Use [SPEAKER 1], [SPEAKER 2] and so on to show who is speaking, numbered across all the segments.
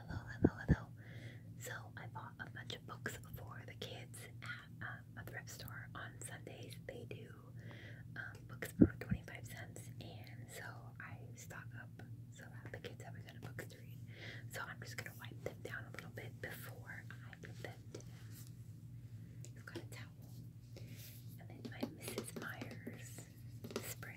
[SPEAKER 1] Hello, hello, hello. So I bought a bunch of books for the kids at um, a thrift store on Sundays. They do um, books for 25 cents, and so I stock up so that the kids have a ton of books to read. So I'm just gonna wipe them down a little bit before I give them to them. I've got a towel, and then my Mrs. Myers spray.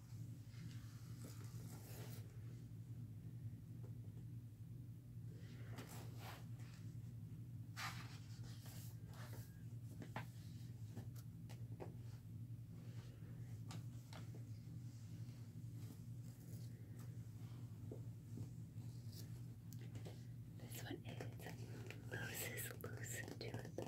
[SPEAKER 1] This one is Moses Loose to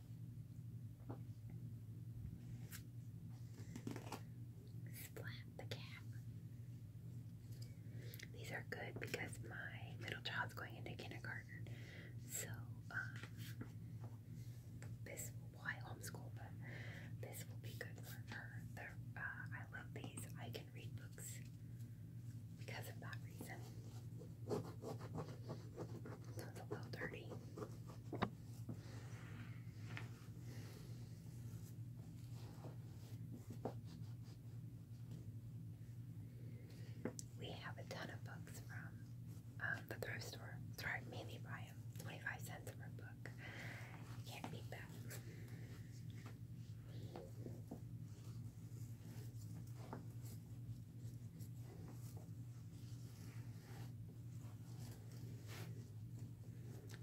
[SPEAKER 1] Splat the cat. These are good because my middle child's going into kindergarten. So, um, this will why homeschool, but this will be good for her. Uh, I love these. I can read books because of that reason. So it's a little dirty. We have a ton of books from um, the thrift store. So I mainly buy 25 cents per book. Can't beat that.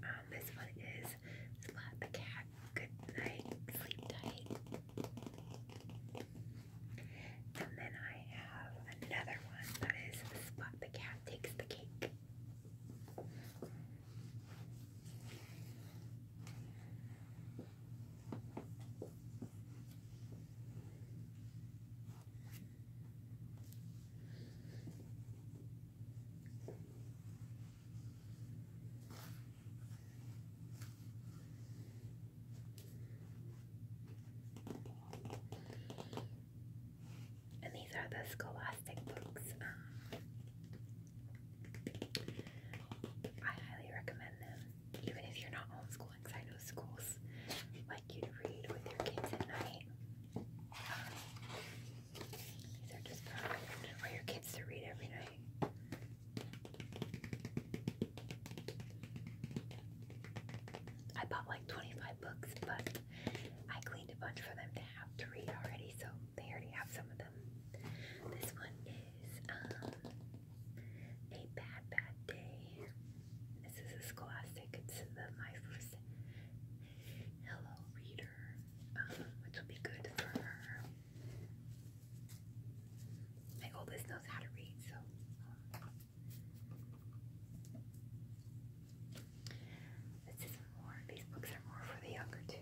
[SPEAKER 1] Um, this one is Spot the Cat. Good night, sleep tight. And then I have another one that is Spot the Cat takes the cake. And these are the Scholastic books. Um, I highly recommend them, even if you're not homeschooling, I know schools like you to read with your kids at night. Um, these are just perfect for your kids to read every night. I bought like 25 books, but I cleaned a bunch for them to have to read already, so they already have some of them. This one um, a bad, bad day. This is a Scholastic. It's my first hello reader, um, which will be good for her. My oldest knows how to read, so. Um, this is more. These books are more for the younger too.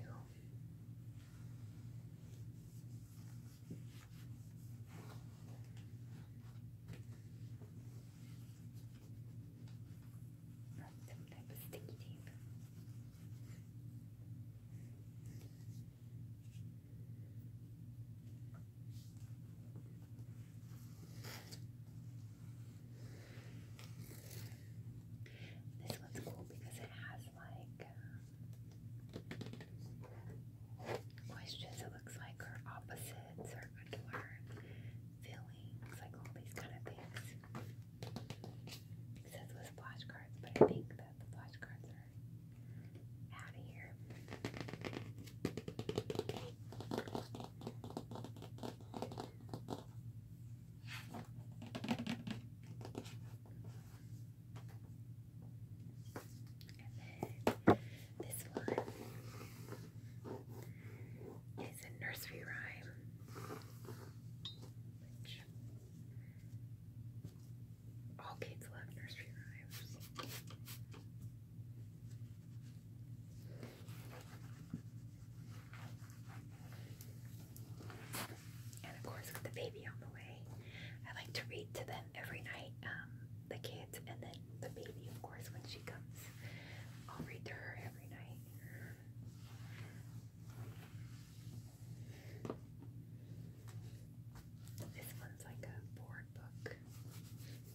[SPEAKER 1] Some type of sticky tape. This one's cool because it has like um, questions. It looks like or opposites or feelings, like all these kind of things. It says with flashcards, but I think that the flashcards are out of here. And then this one is a nursery rhyme, which all kids love nursery rhymes and of course with the baby on the way, I like to read to them every night. Um, the kids, and then the baby, of course, when she comes, I'll read to her every night. This one's like a board book.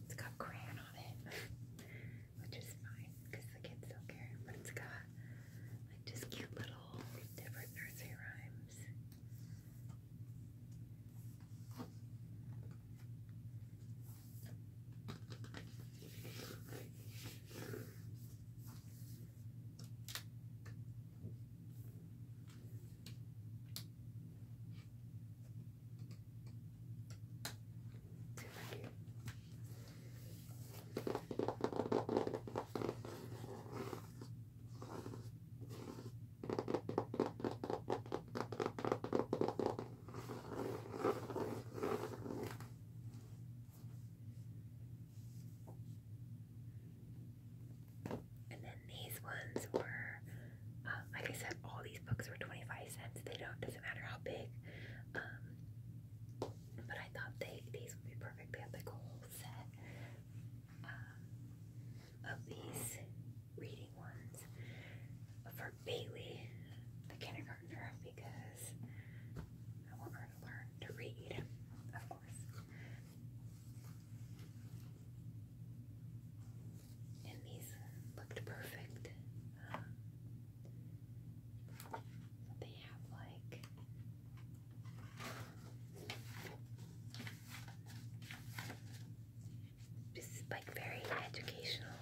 [SPEAKER 1] It's got crayon on it. which is fine because the kids don't care. But it's got like just cute little different nursery rhymes. Super cute. And then these ones were, um, like I said, all these books were 25 cents. They don't, doesn't matter how big. Um, but I thought they these would be perfect. They have like whole set um, of these reading ones for Bailey, the kindergartner, because I want her to learn to read, of course. And these looked perfect. They have like this like very educational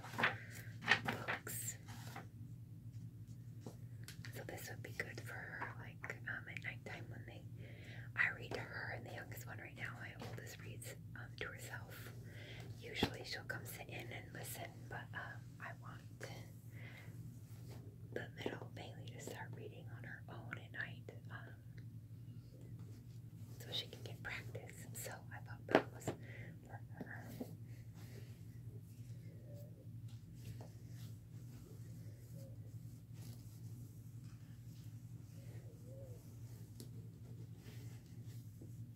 [SPEAKER 1] books. So this would be good for like um, at nighttime when they. I read to her, and the youngest one right now, my oldest reads um, to herself. Usually she'll come sit in and listen it, but um, I want the little Bailey to start reading on her own at night um, so she can get practice. So I thought that was for her.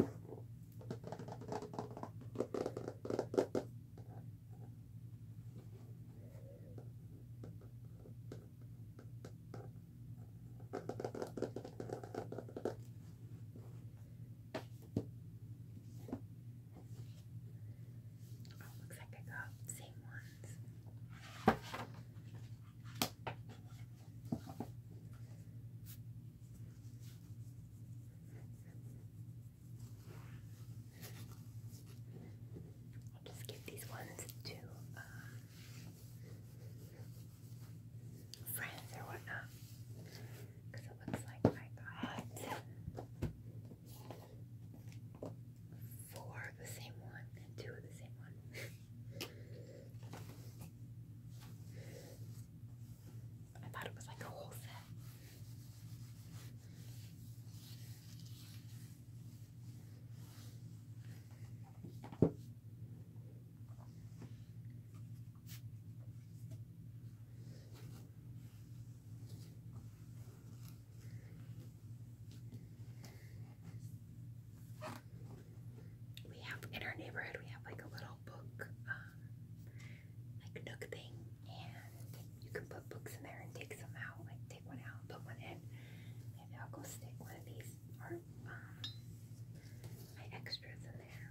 [SPEAKER 1] Oh, looks like I got the same one ones. I'll just give these ones to um, friends or whatnot because it looks like I got four of the same one and two of the same one. I thought it was like a whole set. We have in our neighborhood, we have like a little book, um, like nook thing, and you can put books in there and take some out, like take one out put one in. Maybe I'll go stick one of these or um, my extras in there.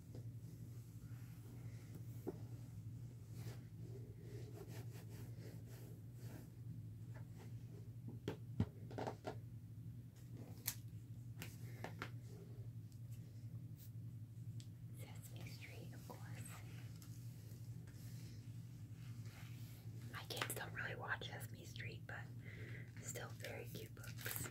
[SPEAKER 1] Sesame Street, of course. My kids don't really watch Sesame Street, but still very cute books.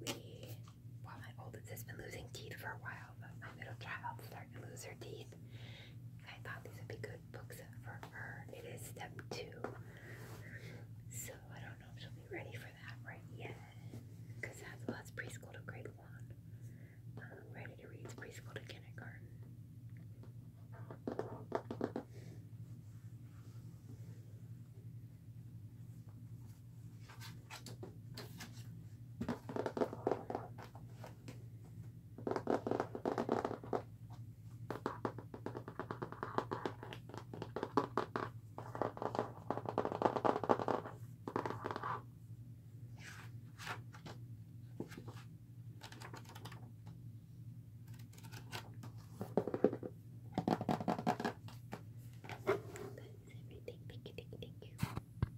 [SPEAKER 1] We, well, my oldest has been losing teeth for a while, child, but my middle child starting to lose her teeth. I thought these would be good books for her. It is step two. So I don't know if she'll be ready for that right yet. Because that's, well, that's preschool to grade one. Um, ready to read preschool to kindergarten. That's everything. Thank you, thank you, thank you.